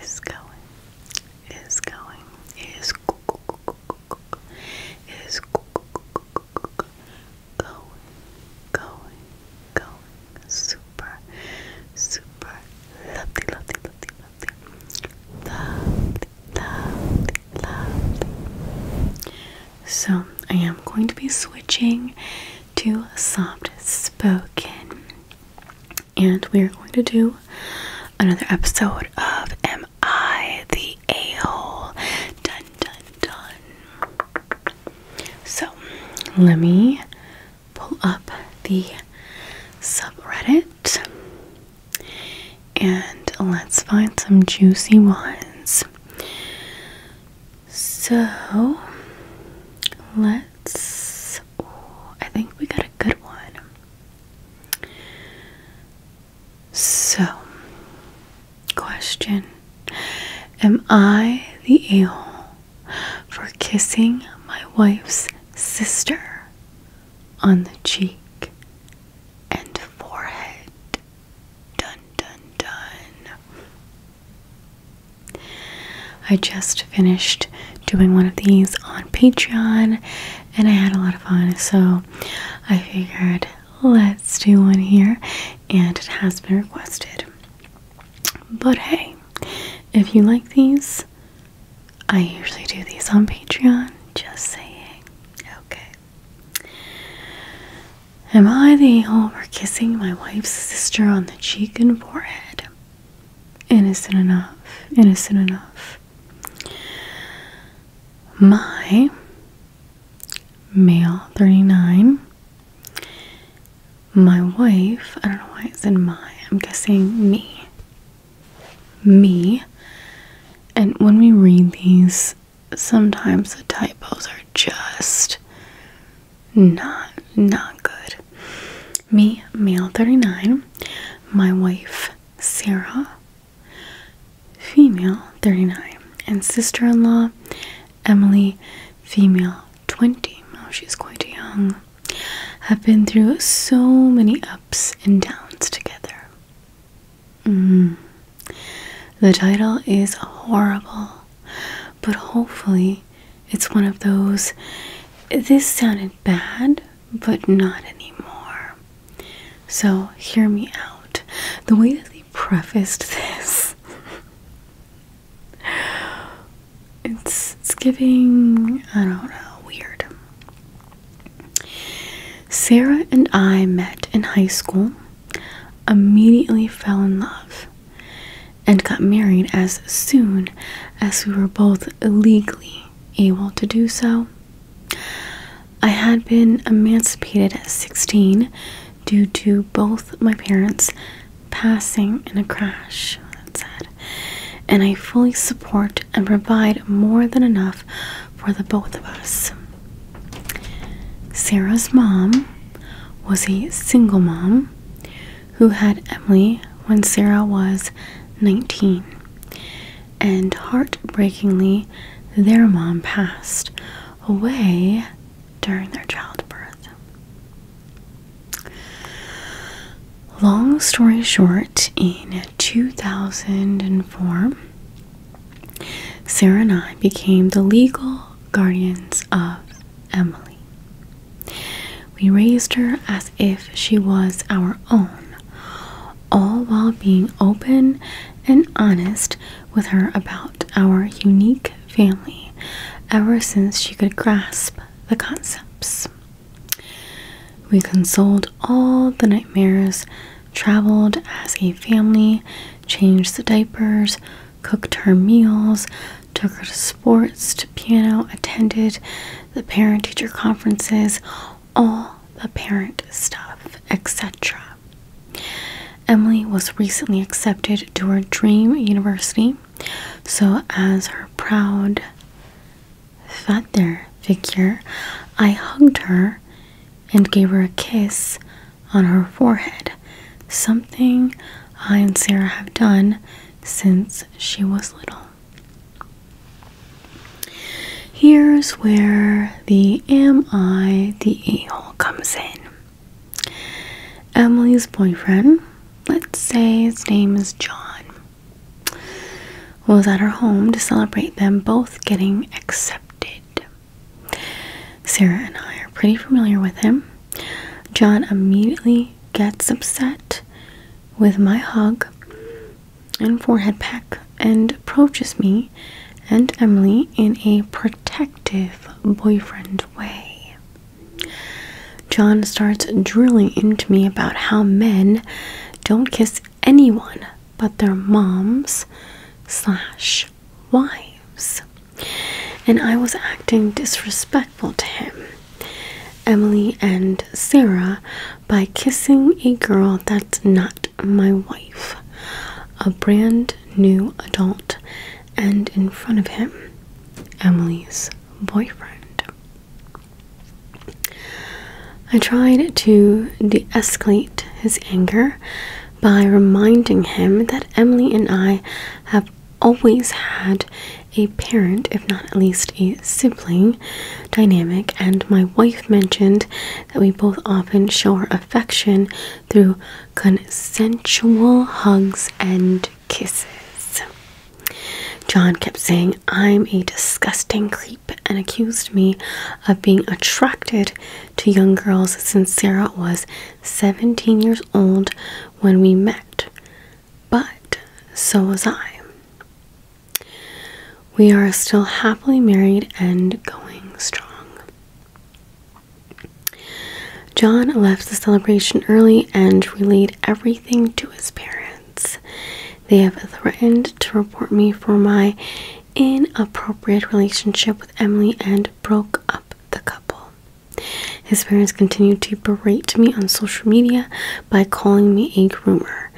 is going, is going, is is going, going, going, super, super, lovely, lovely, lovely, lovely, lovely, lovely, lovely. So I am going to be switching to soft spoken and we are going to do another episode of Am I the A Hole? Dun dun dun. So, let me pull up the subreddit and let's find some juicy ones. So, let's I think we got a good one. So, question Am I the evil for kissing my wife's sister on the cheek and forehead? Dun dun dun. I just finished doing one of these on Patreon and I had a lot of fun, so I figured let's do one here, and it has been requested. But hey, if you like these, I usually do these on Patreon, just saying. Okay. Am I the hole for kissing my wife's sister on the cheek and forehead? Innocent enough, innocent enough. My male 39. My wife, I don't know why it's in my, I'm guessing me. Me. And when we read these, sometimes the typos are just not not good. Me, male 39. My wife, Sarah, female 39, and sister-in-law, Emily, female 20. Oh, she's quite young. Have been through so many ups and downs together. Mm. The title is horrible but hopefully it's one of those this sounded bad but not anymore so hear me out the way that they prefaced this it's, it's giving i don't know weird sarah and i met in high school immediately fell in love and got married as soon as we were both legally able to do so. I had been emancipated at 16 due to both my parents passing in a crash, That's sad. and I fully support and provide more than enough for the both of us. Sarah's mom was a single mom who had Emily when Sarah was 19. And heartbreakingly, their mom passed away during their childbirth. Long story short, in 2004, Sarah and I became the legal guardians of Emily. We raised her as if she was our own, all while being open and honest with her about our unique family ever since she could grasp the concepts. We consoled all the nightmares, traveled as a family, changed the diapers, cooked her meals, took her to sports, to piano, attended the parent teacher conferences, all the parent stuff, etc. Emily was recently accepted to her dream university, so as her proud father figure, I hugged her and gave her a kiss on her forehead, something I and Sarah have done since she was little. Here's where the Am I the A hole comes in. Emily's boyfriend, let's say his name is John, was at her home to celebrate them both getting accepted. Sarah and I are pretty familiar with him. John immediately gets upset with my hug and forehead peck and approaches me and Emily in a protective boyfriend way. John starts drilling into me about how men don't kiss anyone but their moms slash wives. And I was acting disrespectful to him. Emily and Sarah by kissing a girl that's not my wife, a brand new adult, and in front of him, Emily's boyfriend. I tried to de escalate his anger by reminding him that Emily and I have always had a parent, if not at least a sibling, dynamic, and my wife mentioned that we both often show our affection through consensual hugs and kisses. John kept saying, I'm a disgusting creep, and accused me of being attracted to young girls since Sarah was 17 years old when we met. But so was I. We are still happily married and going strong. John left the celebration early and relayed everything to his parents. They have threatened to report me for my inappropriate relationship with Emily and broke up the couple. His parents continue to berate me on social media by calling me a groomer.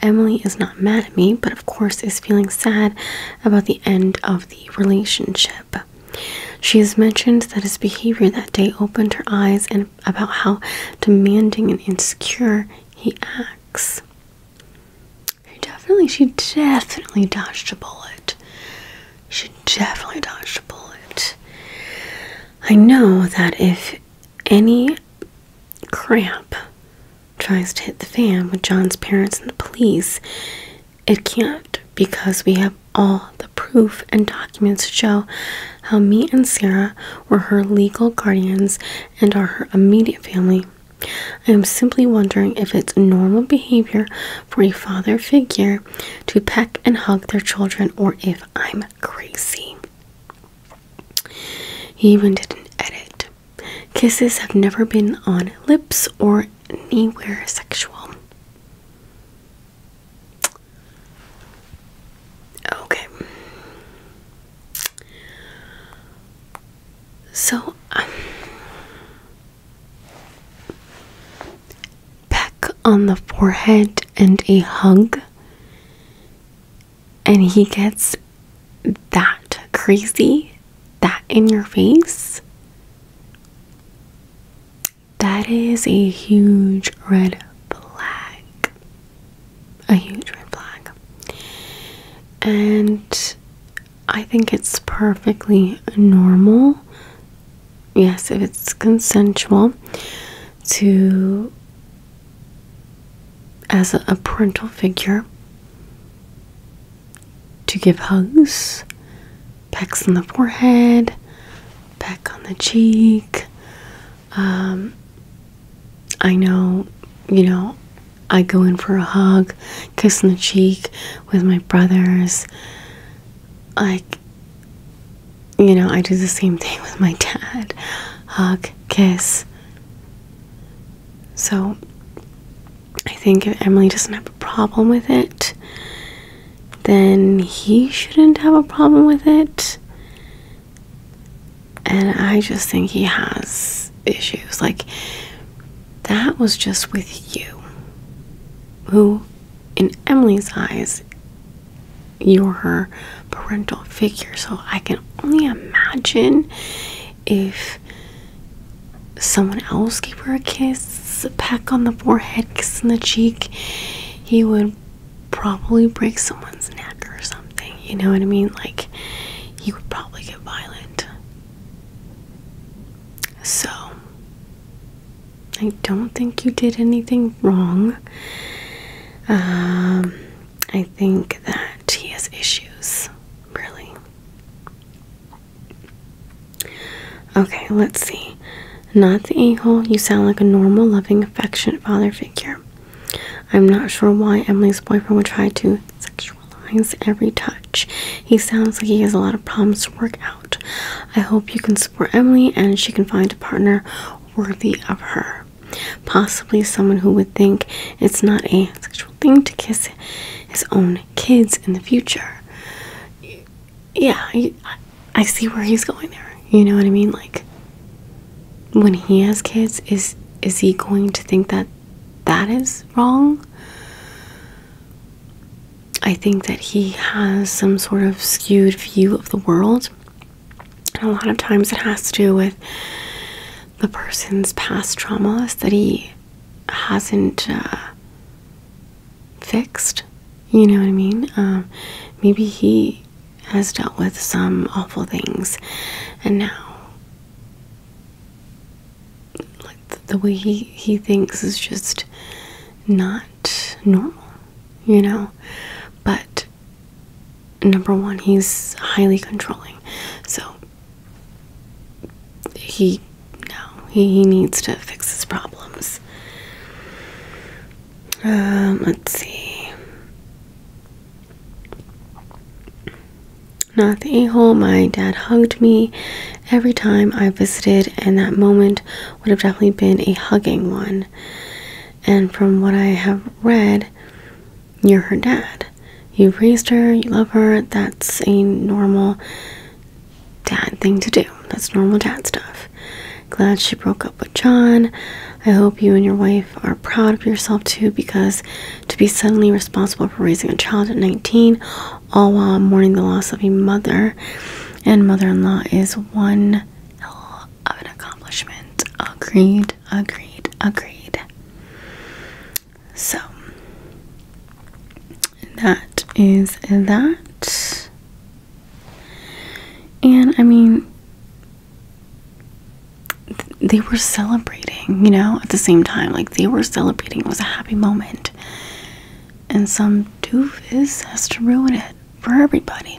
Emily is not mad at me, but of course is feeling sad about the end of the relationship. She has mentioned that his behavior that day opened her eyes and about how demanding and insecure he acts. definitely, she definitely dodged a bullet. She definitely dodged a bullet. I know that if any cramp tries to hit the fan with John's parents and the police, it can't because we have all the proof and documents to show how me and Sarah were her legal guardians and are her immediate family. I am simply wondering if it's normal behavior for a father figure to peck and hug their children or if I'm name He even did an edit. Kisses have never been on lips or anywhere sexual. Okay. So, um, peck on the forehead and a hug. And he gets that crazy, that in your face. That is a huge red flag. A huge red flag. And I think it's perfectly normal yes, if it's consensual, to as a, parental figure to give hugs, pecks on the forehead, peck on the cheek. Um, I know, you know, I go in for a hug, kiss on the cheek with my brothers. Like, you know, I do the same thing with my dad hug, kiss. So I think if Emily doesn't have a problem with it, then he shouldn't have a problem with it. And I just think he has issues. Like, that was just with you. Who in Emily's eyes, you're her parental figure. So I can only imagine if someone else gave her a kiss, a peck on the forehead, kiss on the cheek, he would probably break someone's neck or something. You know what I mean? Like, he would probably get violent. So, I don't think you did anything wrong. Um, I think that he has issues, really. Okay, let's see. Not the a hole. You sound like a normal, loving, affectionate father figure. I'm not sure why Emily's boyfriend would try to sexualize every touch. He sounds like he has a lot of problems to work out. I hope you can support Emily and she can find a partner worthy of her. Possibly someone who would think it's not a sexual thing to kiss his own kids in the future. Yeah, I, see where he's going there. You know what I mean? Like, when he has kids, is is he going to think that that is wrong? I think that he has some sort of skewed view of the world and a lot of times it has to do with the person's past traumas that he hasn't uh, fixed. You know what I mean? Um, maybe he has dealt with some awful things, and now the, the way he he thinks is just not normal, you know. But number one, he's highly controlling. So he no, he, needs to fix his problems. Um, let's see. Not the a-hole. My dad hugged me every time I visited, and that moment would have definitely been a hugging one. And from what I have read, you're her dad. You raised her, you love her. That's a normal dad thing to do. That's normal dad stuff. Glad she broke up with John. I hope you and your wife are proud of yourself too because to be suddenly responsible for raising a child at 19, all while mourning the loss of a mother and mother in law, is one of an accomplishment. Agreed, agreed, agreed. So, that is that. And I mean, they were celebrating, you know, at the same time. Like, they were celebrating. It was a happy moment. And some doofus has to ruin it for everybody.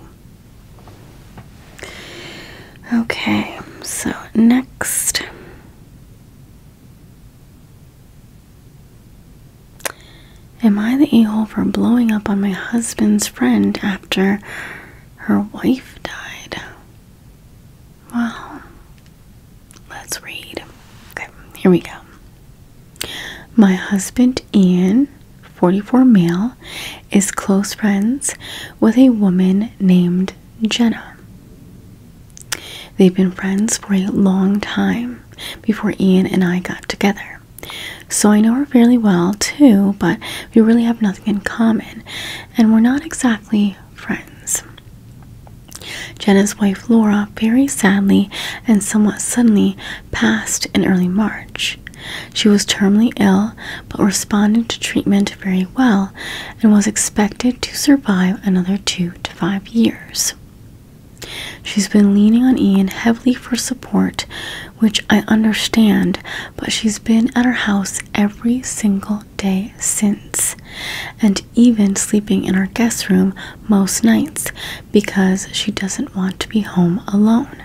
Okay, so next Am I the a hole for blowing up on my husband's friend after her wife died? Well, let's read. Okay, here we go. My husband Ian, 44 male is close friends with a woman named Jenna. They've been friends for a long time before Ian and I got together. So I know her fairly well too, but we really have nothing in common and we're not exactly friends. Jenna's wife Laura very sadly and somewhat suddenly passed in early March. She was terminally ill but responded to treatment very well and was expected to survive another two to five years. She's been leaning on Ian heavily for support, which I understand, but she's been at her house every single day since, and even sleeping in our guest room most nights because she doesn't want to be home alone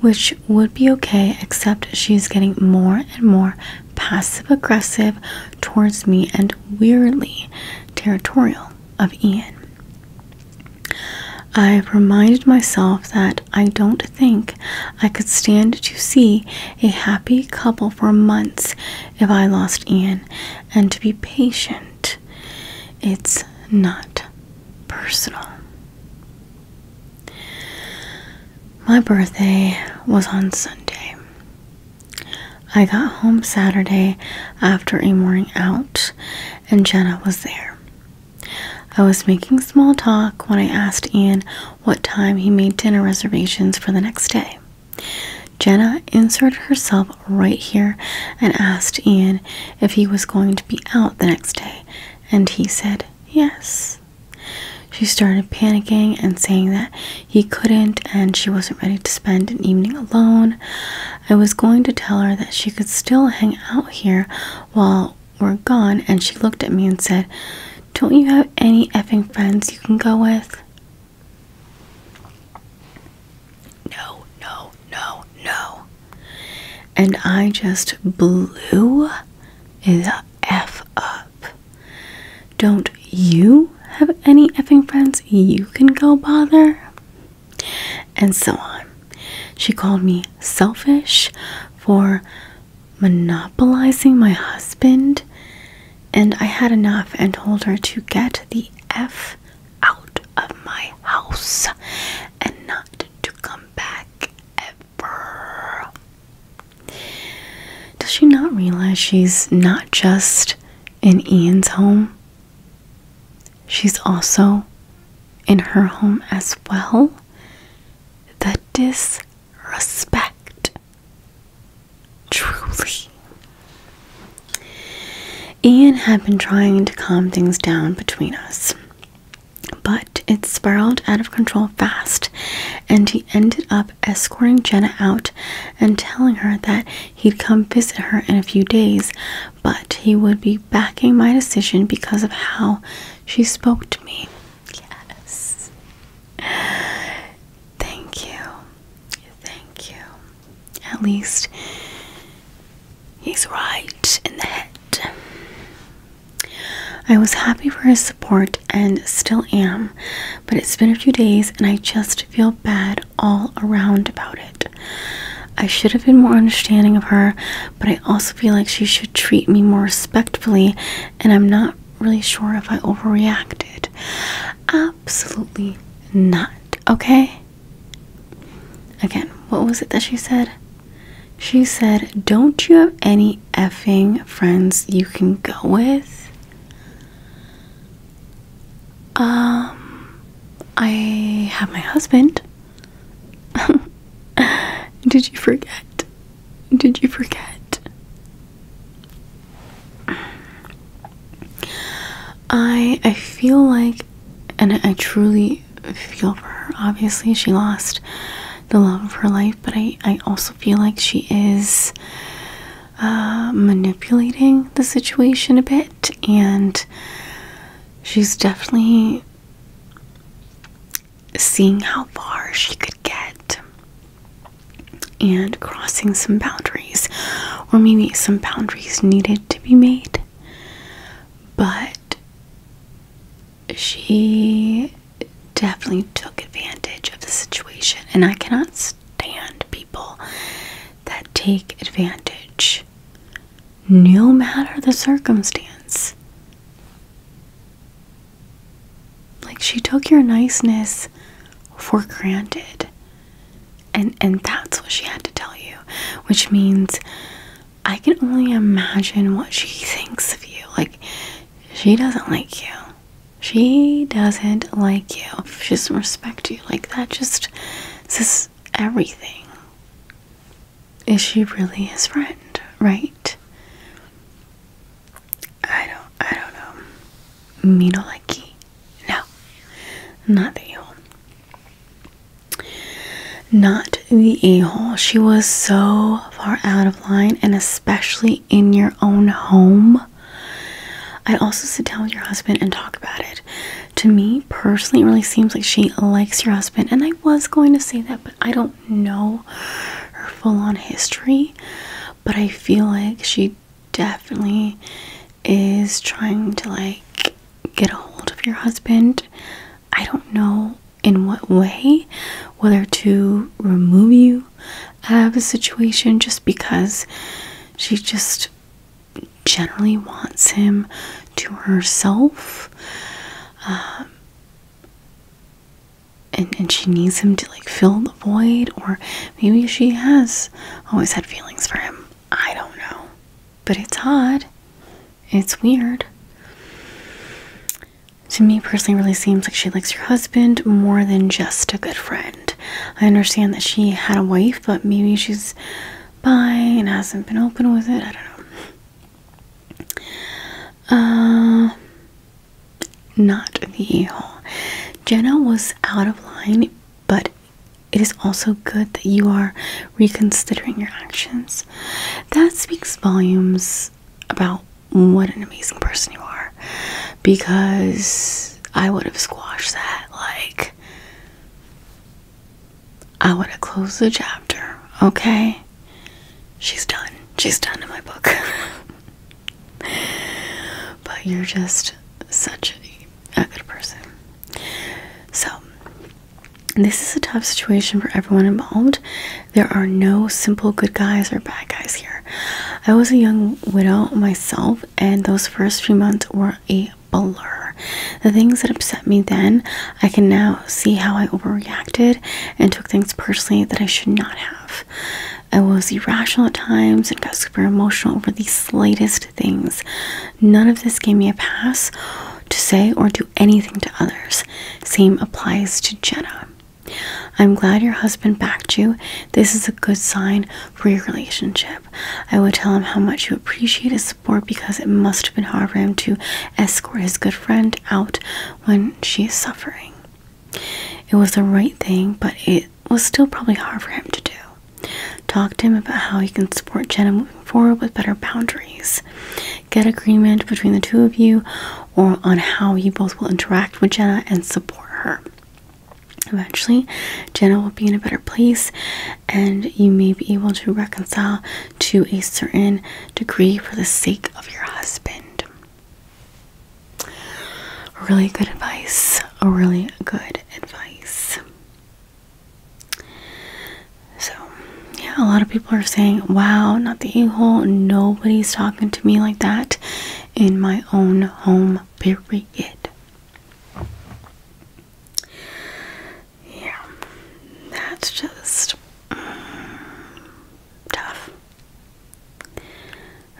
which would be okay, except she is getting more and more passive aggressive towards me and weirdly territorial of Ian. I've reminded myself that I don't think I could stand to see a happy couple for months if I lost Ian, and to be patient. It's not personal. My birthday was on Sunday. I got home Saturday after a morning out, and Jenna was there. I was making small talk when I asked Ian what time he made dinner reservations for the next day. Jenna inserted herself right here and asked Ian if he was going to be out the next day, and he said yes. She started panicking and saying that he couldn't and she wasn't ready to spend an evening alone. I was going to tell her that she could still hang out here while we're gone, and she looked at me and said, Don't you have any effing friends you can go with? no, no, no, no. And I just blew the F up. Don't you have any effing friends you can go bother? And so on. She called me selfish for monopolizing my husband, and I had enough and told her to get the F out of my house and not to come back ever. Does she not realize she's not just in Ian's home? She's also in her home as well. The disrespect. Truly. Ian had been trying to calm things down between us. But it spiraled out of control fast, and he ended up escorting Jenna out and telling her that he'd come visit her in a few days, but he would be backing my decision because of how she spoke to me. Yes. Thank you. Thank you. At least He's right in the head. I was happy for his support and still am, but it's been a few days and I just feel bad all around about it. I should have been more understanding of her, but I also feel like she should treat me more respectfully, and I'm not really sure if I overreacted. Absolutely not, okay? Again, what was it that she said? She said, Don't you have any effing friends you can go with? Um, I have my husband. Did you forget? Did you forget? I I feel like and I truly feel for her. Obviously, she lost the love of her life, but I, I also feel like she is uh, manipulating the situation a bit, and she's definitely seeing how far she could get and crossing some boundaries, or maybe some boundaries needed to be made but she definitely took advantage of the situation, and I cannot stand people that take advantage no matter the circumstance. Like she took your niceness for granted. And and that's what she had to tell you, which means I can only imagine what she thinks of you. Like, she doesn't like you. She doesn't like you. She doesn't respect you. Like, that just says everything. Is she really his friend, right? I don't, I don't know. Minolaki. No, not that you. Not the a hole. She was so far out of line, and especially in your own home. I also sit down with your husband and talk about it. To me personally, it really seems like she likes your husband, and I was going to say that, but I don't know her full on history. But I feel like she definitely is trying to like get a hold of your husband. I don't know in what way, whether to remove you out of the situation just because she just generally wants him to herself. Um, and, and she needs him to like fill the void, or maybe she has always had feelings for him. I don't know. But it's odd. It's weird. To me personally, really seems like she likes your husband more than just a good friend. I understand that she had a wife, but maybe she's bi and hasn't been open with it. I don't know. Uh, not the evil. Jenna was out of line, but it is also good that you are reconsidering your actions. That speaks volumes about what an amazing person you are because I would have squashed that. Like, I would have closed the chapter, okay? She's done. She's done in my book. but you're just such a good person. So, this is a tough situation for everyone involved. There are no simple good guys or bad guys here. I was a young widow myself, and those first few months were a blur. The things that upset me then, I can now see how I overreacted and took things personally that I should not have. I was irrational at times and got super emotional over the slightest things. None of this gave me a pass to say or do anything to others. Same applies to Jenna. I'm glad your husband backed you. This is a good sign for your relationship. I would tell him how much you appreciate his support because it must have been hard for him to escort his good friend out when she is suffering. It was the right thing, but it was still probably hard for him to do. Talk to him about how he can support Jenna moving forward with better boundaries get agreement between the two of you or on how you both will interact with Jenna and support her. Eventually, Jenna will be in a better place and you may be able to reconcile to a certain degree for the sake of your husband. Really good advice. Really good advice. So, yeah, a lot of people are saying, wow, not the e hole. Nobody's talking to me like that in my own home, period. Yeah, that's just mm, tough.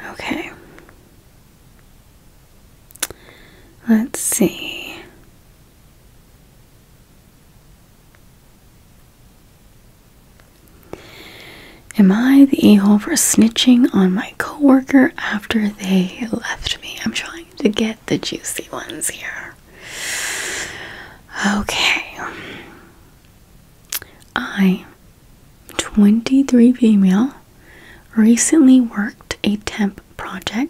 Okay. Let's see. Am I the a hole for snitching on my coworker after they left me? I'm trying to get the juicy ones here. Okay. I, 23 female, recently worked a temp project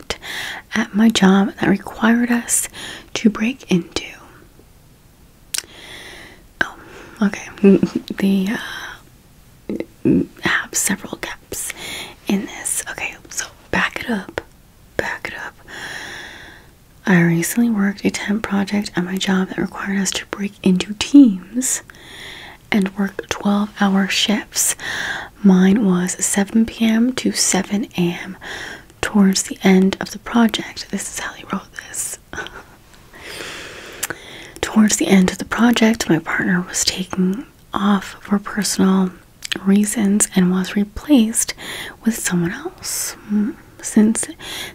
at my job that required us to break into. Oh, okay. The uh, have several gaps in this. Okay, so back it up. Back it up. I recently worked a temp project at my job that required us to break into teams and work 12 hour shifts. Mine was 7 p.m. to 7 a.m towards the end of the project. This is how he wrote this. towards the end of the project, my partner was taken off for personal reasons and was replaced with someone else. Hmm. Since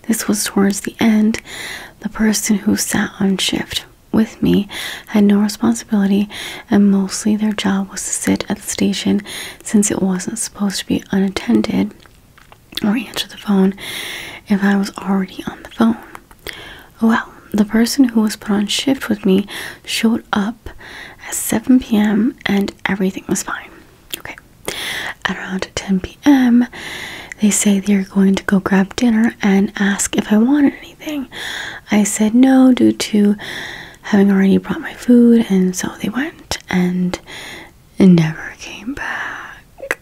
this was towards the end, the person who sat on shift with me had no responsibility, and mostly their job was to sit at the station since it wasn't supposed to be unattended or answer the phone if I was already on the phone. Well, the person who was put on shift with me showed up at 7 p.m. and everything was fine. Okay. At around 10 p.m., they say they're going to go grab dinner and ask if I wanted anything. I said no due to having already brought my food, and so they went and never came back.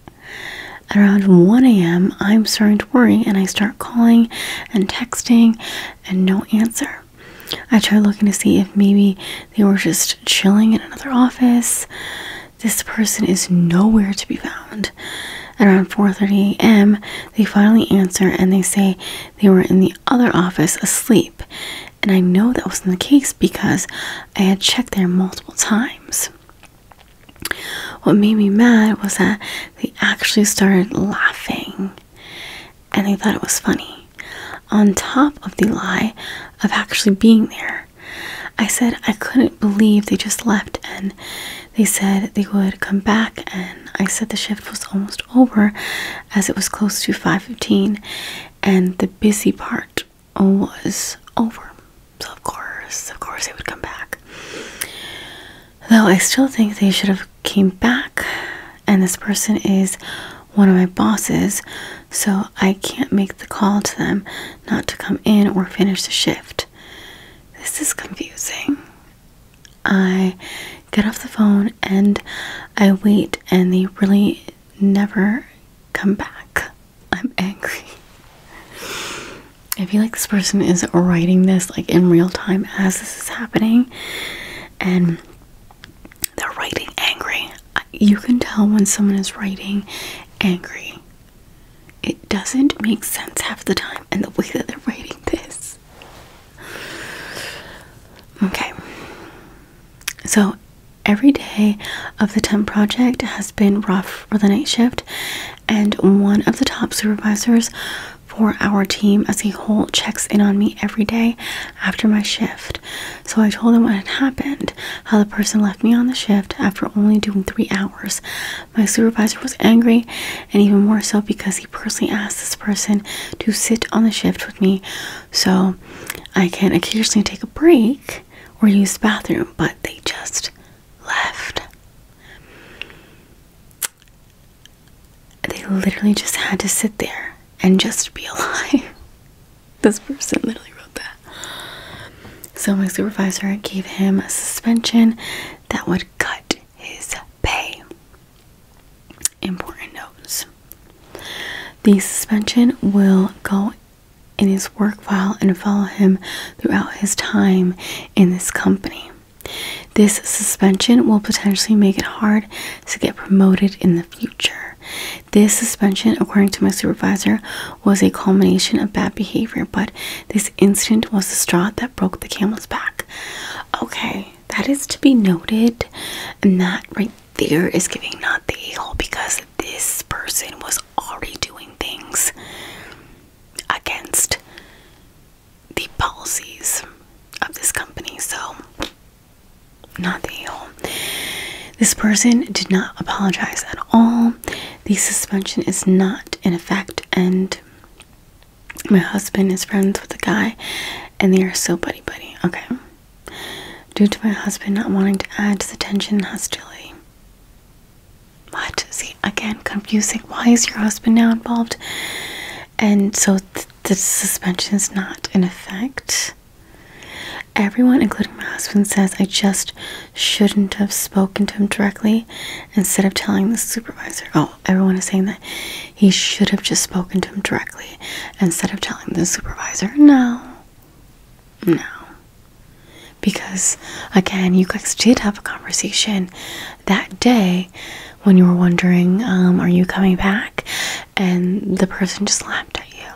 At around 1 a.m., I'm starting to worry and I start calling and texting and no answer. I try looking to see if maybe they were just chilling in another office. This person is nowhere to be found. At around 4:30 a.m., they finally answer and they say they were in the other office asleep and I know that wasn't the case because I had checked there multiple times. What made me mad was that they actually started laughing and they thought it was funny. On top of the lie of actually being there, I said I couldn't believe they just left and they said they would come back. And I said the shift was almost over as it was close to 5:15 and the busy part was over. So of course, of course they would come back. Though I still think they should have came back and this person is one of my bosses, so I can't make the call to them not to come in or finish the shift. This is confusing. I get off the phone and I wait and they really never come back. I'm angry. I feel like this person is writing this like in real time as this is happening and they're writing angry. You can tell when someone is writing angry. It doesn't make sense half the time and the way that they're writing this. Okay. So every day of the temp project has been rough for the night shift, and one of the top supervisors for our team as a whole checks in on me every day after my shift. So I told him what had happened, how the person left me on the shift after only doing three hours. My supervisor was angry, and even more so because he personally asked this person to sit on the shift with me. So I can occasionally take a break or use the bathroom, but they just left. They literally just had to sit there and just be alive. this person literally wrote that. So my supervisor gave him a suspension that would cut his pay. Important notes. The suspension will go in his work file and follow him throughout his time in this company. This suspension will potentially make it hard to get promoted in the future. This suspension, according to my supervisor, was a culmination of bad behavior, but this incident was the straw that broke the camel's back. Okay, that is to be noted, and that right Fear is giving not the a because this person was already doing things against the policies of this company. So, not the a This person did not apologize at all. The suspension is not in effect, and my husband is friends with the guy, and they are so buddy buddy. Okay due to my husband not wanting to add to the tension hastily, but What? See, again, confusing. Why is your husband now involved? And so the suspension is not in effect. Everyone, including my husband, says I just shouldn't have spoken to him directly instead of telling the supervisor. Oh, everyone is saying that he should have just spoken to him directly instead of telling the supervisor, no, no. Because again, you guys did have a conversation that day when you were wondering, um, are you coming back? And the person just laughed at you.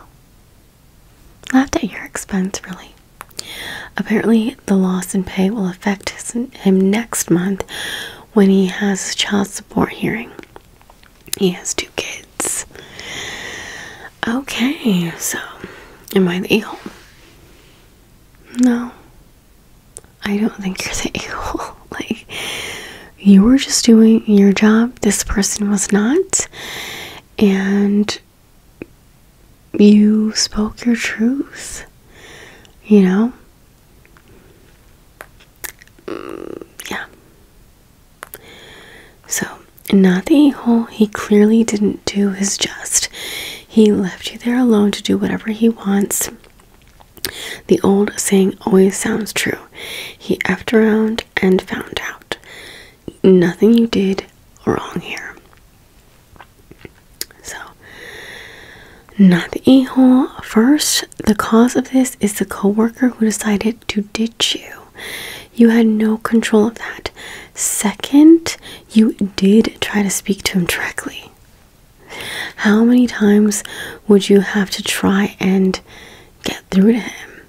Laughed at your expense, really. Apparently, the loss in pay will affect him next month when he has his child support hearing. He has two kids. Okay, so am I the eagle? No. I don't think you're the eagle. like you were just doing your job. This person was not. And you spoke your truth. You know? Mm, yeah. So, not the a hole, he clearly didn't do his just. He left you there alone to do whatever he wants. The old saying always sounds true. He effed around and found out. Nothing you did wrong here. So, not the a hole first the cause of this is the coworker who decided to ditch you. You had no control of that. Second, you did try to speak to him directly. How many times would you have to try and get through to him?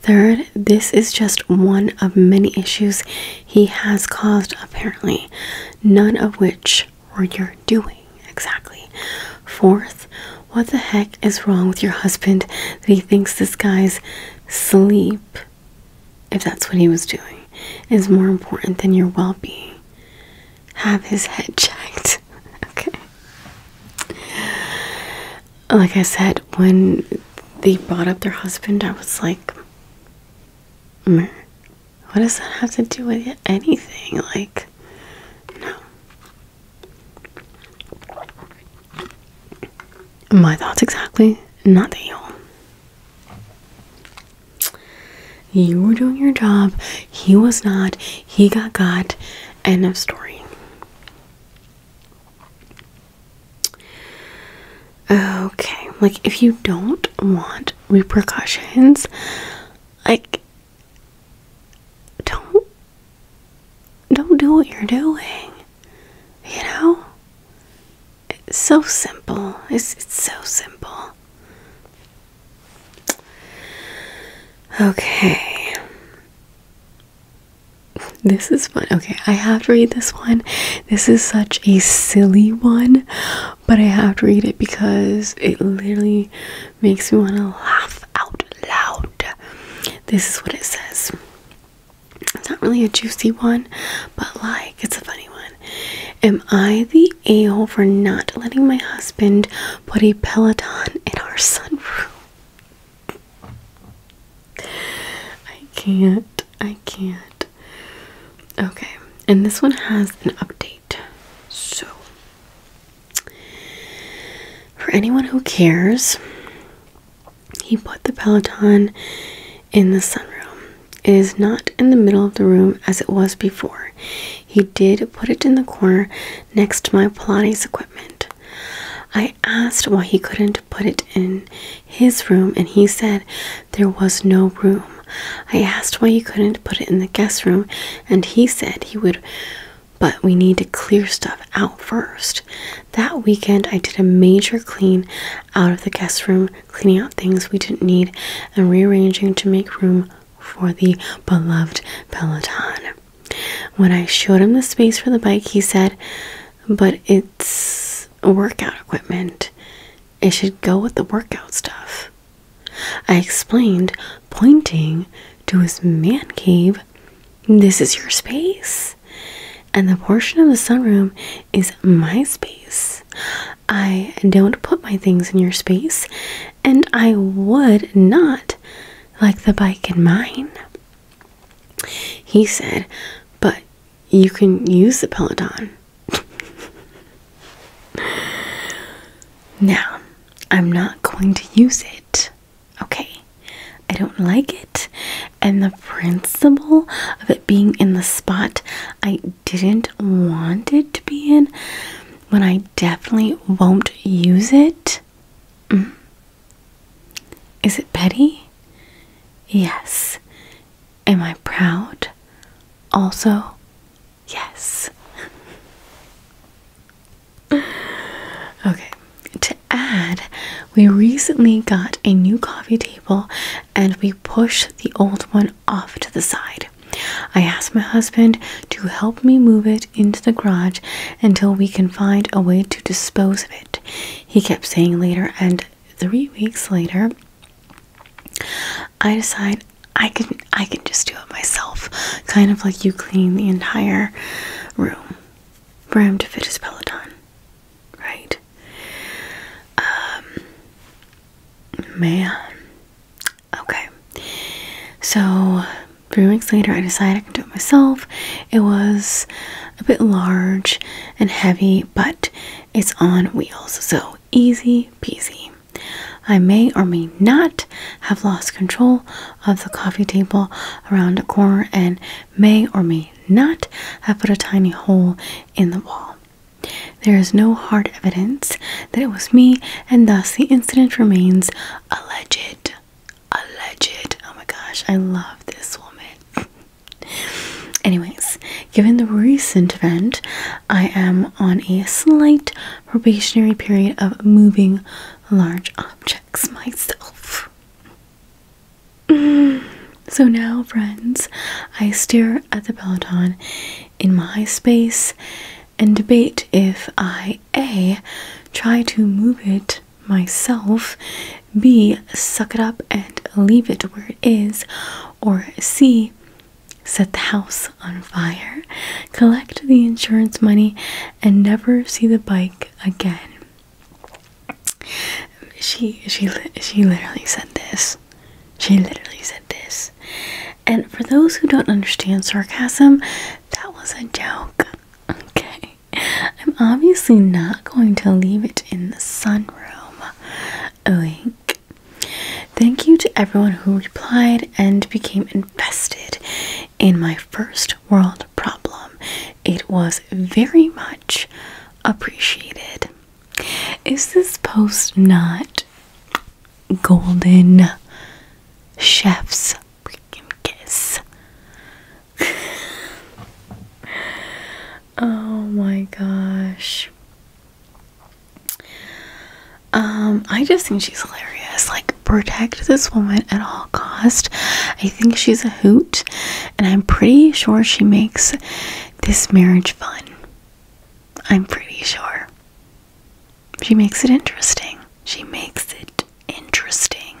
Third, this is just one of many issues he has caused, apparently, none of which were your doing. Exactly, Fourth, what the heck is wrong with your husband that he thinks this guy's sleep, if that's what he was doing, is more important than your well being? Have his head checked. okay. Like I said, when they brought up their husband, I was like, what does that have to do with anything? Like, no. My thoughts exactly, not the you You were doing your job, he was not, he got got, end of story. Okay, like if you don't want repercussions, like don't don't do what you're doing. You know? It's so simple. It's it's so simple. Okay. This is fun. Okay, I have to read this one. This is such a silly one, but I have to read it because it literally makes me want to laugh out loud. This is what it says. It's not really a juicy one, but like it's a funny one. Am I the a hole for not letting my husband put a Peloton in our sunroom? I can't. I can't. Okay, and this one has an update. So, for anyone who cares, he put the Peloton in the sunroom. It is not in the middle of the room as it was before. He did put it in the corner next to my Pilates equipment. I asked why he couldn't put it in his room, and he said there was no room. I asked why he couldn't put it in the guest room, and he said he would but we need to clear stuff out first. That weekend, I did a major clean out of the guest room, cleaning out things we didn't need and rearranging to make room for the beloved Peloton. When I showed him the space for the bike, he said, But it's workout equipment. It should go with the workout stuff. I explained, pointing to his man cave. This is your space. And the portion of the sunroom is my space. I don't put my things in your space, and I would not like the bike in mine. He said, But you can use the Peloton. now, I'm not going to use it. Okay, I don't like it, and the principle of it being in the spot I didn't want it to be in when I definitely won't use it, mm. is it petty? Yes. Am I proud? Also, yes. Okay, to add, we recently got a new coffee table and we pushed the old one off to the side. I asked my husband to help me move it into the garage until we can find a way to dispose of it. He kept saying later, and three weeks later, I decide I can I can just do it myself, kind of like you clean the entire room room to fit his Peloton, right? Um, man. Okay. So, three weeks later, I decided I can do it myself. It was a bit large and heavy, but it's on wheels, so easy peasy. I may or may not have lost control of the coffee table around a corner and may or may not have put a tiny hole in the wall. There is no hard evidence that it was me, and thus the incident remains alleged. Alleged. Oh my gosh, I love this woman. Anyways, given the recent event, I am on a slight probationary period of moving large objects myself. Mm. So now, friends, I stare at the Peloton in my space and debate if I A. try to move it myself, B. suck it up and leave it where it is, or C. set the house on fire, collect the insurance money, and never see the bike again. She she she literally said this. She literally said this. And for those who don't understand sarcasm, that was a joke. Okay. I'm obviously not going to leave it in the sunroom. Oink. Thank you to everyone who replied and became invested in my first world problem. It was very much appreciated. Is this post not golden chef's freaking kiss? oh my gosh. Um, I just think she's hilarious. Like protect this woman at all cost. I think she's a hoot, and I'm pretty sure she makes this marriage fun. I'm pretty sure. She makes it interesting. She makes it interesting.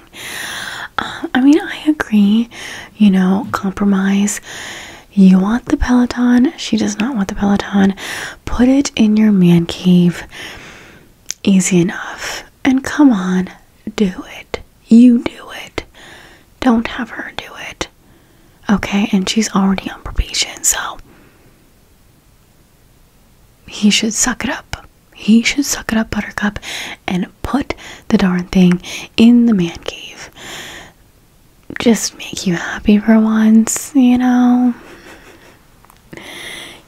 Uh, I mean, I agree, you know, compromise. You want the Peloton, she does not want the Peloton. Put it in your man cave. Easy enough. And come on, do it. You do it. Don't have her do it. Okay, and she's already on probation, so he should suck it up. He should suck it up, Buttercup, and put the darn thing in the man cave. Just make you happy for once, you know?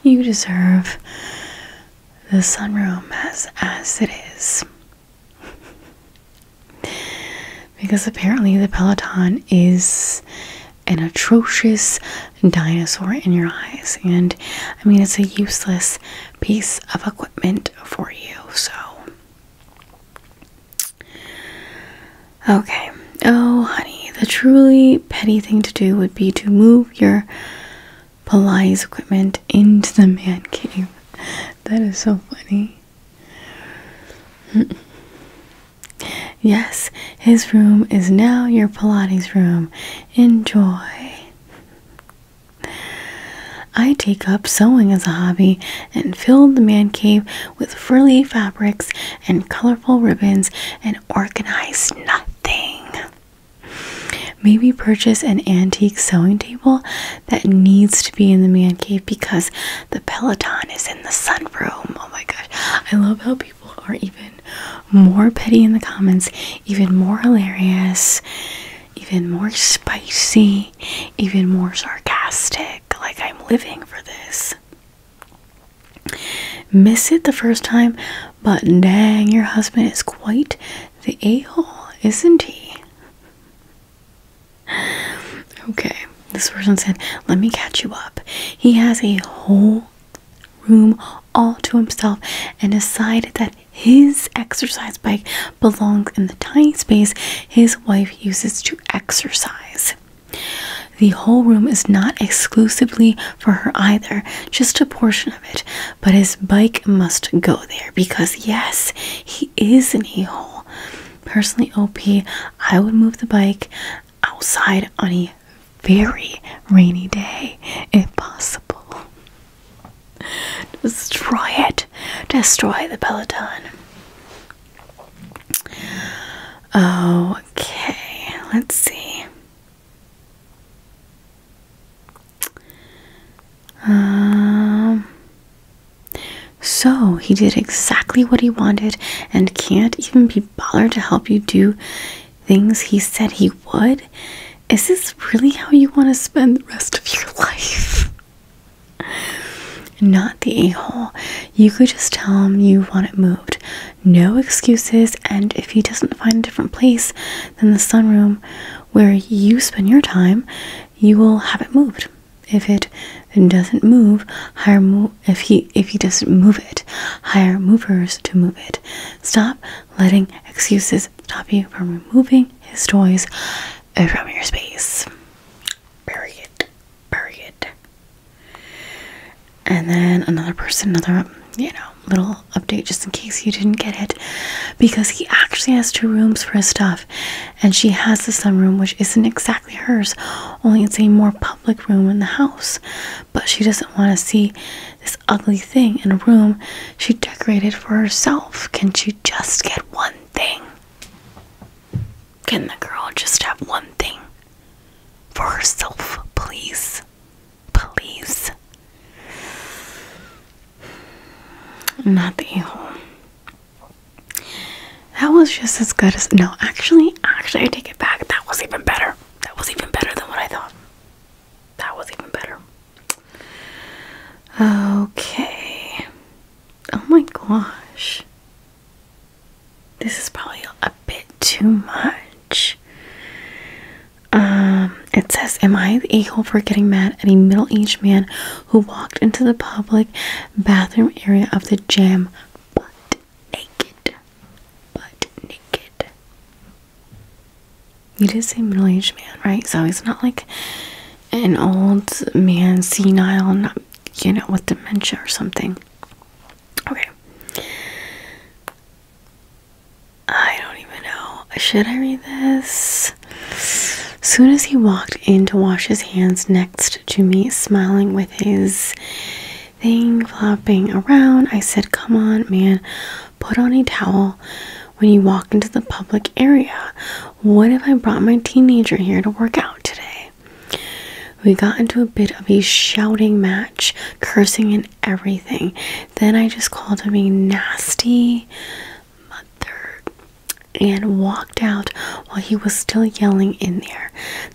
You deserve the sunroom as as it is. because apparently the Peloton is an atrocious dinosaur in your eyes and I mean it's a useless piece of equipment for you. So Okay. Oh, honey, the truly petty thing to do would be to move your Pilates equipment into the man cave. That is so funny. yes, his room is now your Pilates room. Enjoy. I take up sewing as a hobby and filled the man cave with frilly fabrics and colorful ribbons and organized nothing. Maybe purchase an antique sewing table that needs to be in the man cave because the Peloton is in the sunroom. Oh my gosh. I love how people are even more petty in the comments, even more hilarious, even more spicy, even more sarcastic. Like I'm living for this. Miss it the first time, but dang, your husband is quite the a hole, isn't he? Okay, this person said, Let me catch you up. He has a whole room all to himself and decided that his exercise bike belongs in the tiny space his wife uses to exercise. The whole room is not exclusively for her either, just a portion of it. But his bike must go there because, yes, he is an e hole. Personally, OP, I would move the bike outside on a very rainy day if possible. Destroy it. Destroy the Peloton. Okay, let's see. Um, so he did exactly what he wanted and can't even be bothered to help you do things he said he would. Is this really how you want to spend the rest of your life? Not the a hole. You could just tell him you want it moved no excuses. And if he doesn't find a different place than the sunroom where you spend your time, you will have it moved. If it doesn't move, hire mo if he if he doesn't move it, hire movers to move it. Stop letting excuses stop you from removing his toys from your space. Bury it. Bury it and then another person, another, you know, little update just in case you didn't get it because he actually has two rooms for his stuff and she has the sunroom which isn't exactly hers only it's a more public room in the house but she doesn't want to see this ugly thing in a room she decorated for herself can she just get one thing can the girl just have one thing for herself please Please. Not the a That was just as good as no, actually, actually I take it back. That was even better. That was even better than what I thought. That was even better. Okay. Oh my gosh. This is probably a bit too much. Um, it says, Am I the a hole for getting mad at a middle aged man who walked into the public bathroom area of the gym but naked? Butt naked. You did say middle aged man, right? So he's not like an old man, senile, not, you know, with dementia or something. Okay. I don't even know. Should I read this? Soon as he walked in to wash his hands next to me, smiling with his thing flopping around, I said, Come on, man, put on a towel when you walk into the public area. What if I brought my teenager here to work out today? We got into a bit of a shouting match, cursing and everything. Then I just called him a nasty mother and walked out while he was still yelling in there.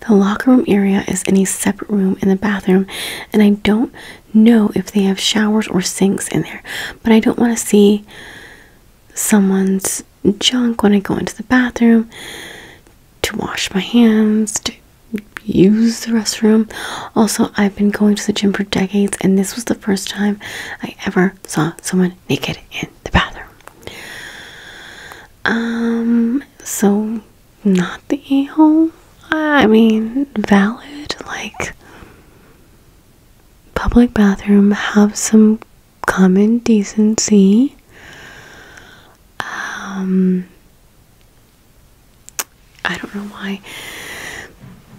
The locker room area is in a separate room in the bathroom, and I don't know if they have showers or sinks in there, but I don't want to see someone's junk when I go into the bathroom to wash my hands, use the restroom. Also, I've been going to the gym for decades, and this was the first time I ever saw someone naked in the bathroom. Um, so not the a hole. I mean, valid, like public bathroom, have some common decency. Um, I don't know why.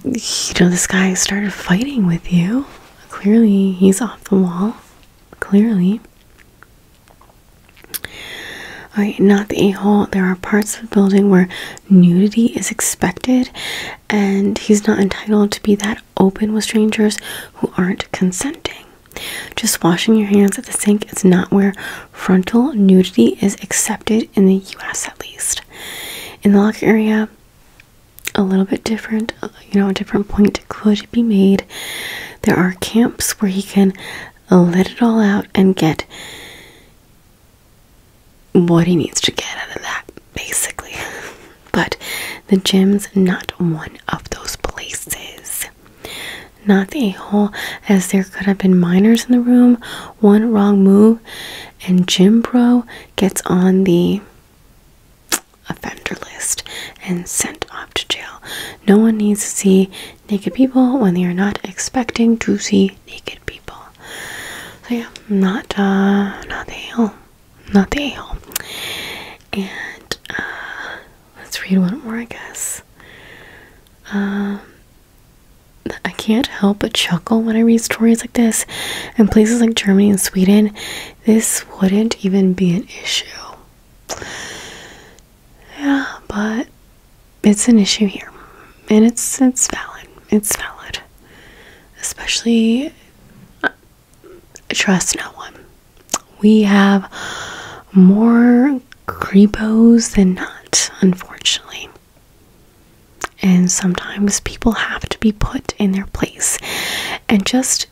You know, this guy started fighting with you. Clearly, he's off the wall. Clearly. Alright, not the a hole. There are parts of the building where nudity is expected, and he's not entitled to be that open with strangers who aren't consenting. Just washing your hands at the sink is not where frontal nudity is accepted in the US at least. In the lock area, a little bit different, you know, a different point could be made. There are camps where he can let it all out and get what he needs to get out of that, basically. But the gym's not one of those places. Not the a hole, as there could have been minors in the room one wrong move and Jim Bro gets on the offender list and sent off to jail. No one needs to see naked people when they are not expecting to see naked people. So yeah, not uh not the hell. Not the hell. And uh let's read one more I guess. Um I can't help but chuckle when I read stories like this. In places like Germany and Sweden, this wouldn't even be an issue. Yeah, but it's an issue here. And it's it's valid. It's valid. Especially uh, trust no one. We have more creepos than not, unfortunately. And sometimes people have to be put in their place. And just,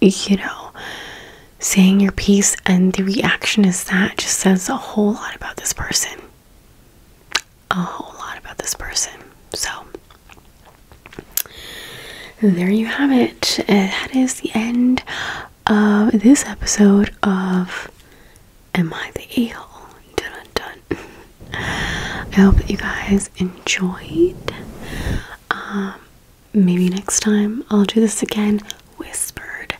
you know, saying your piece and the reaction is that just says a whole lot about this person. A whole lot about this person. So, there you have it. that is the end of this episode of am I the a Dun dun dun. I hope that you guys enjoyed. Um, maybe next time I'll do this again whispered.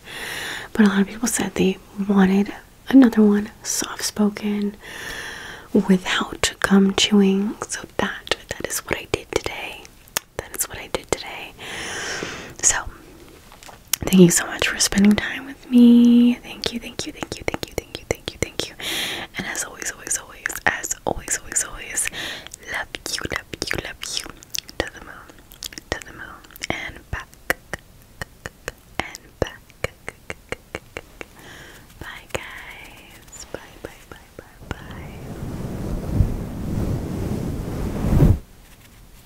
But a lot of people said they wanted another one soft spoken without gum chewing. So that that is what I did today. That is what I did today. So Thank you so much for spending time with me. Thank you, thank you, thank you, thank you, thank you, thank you, thank you. And as always, always, always, as always, always, always, love you, love you, love you. To the moon, to the moon, and back, and back. Bye, guys. Bye, bye, bye, bye, bye.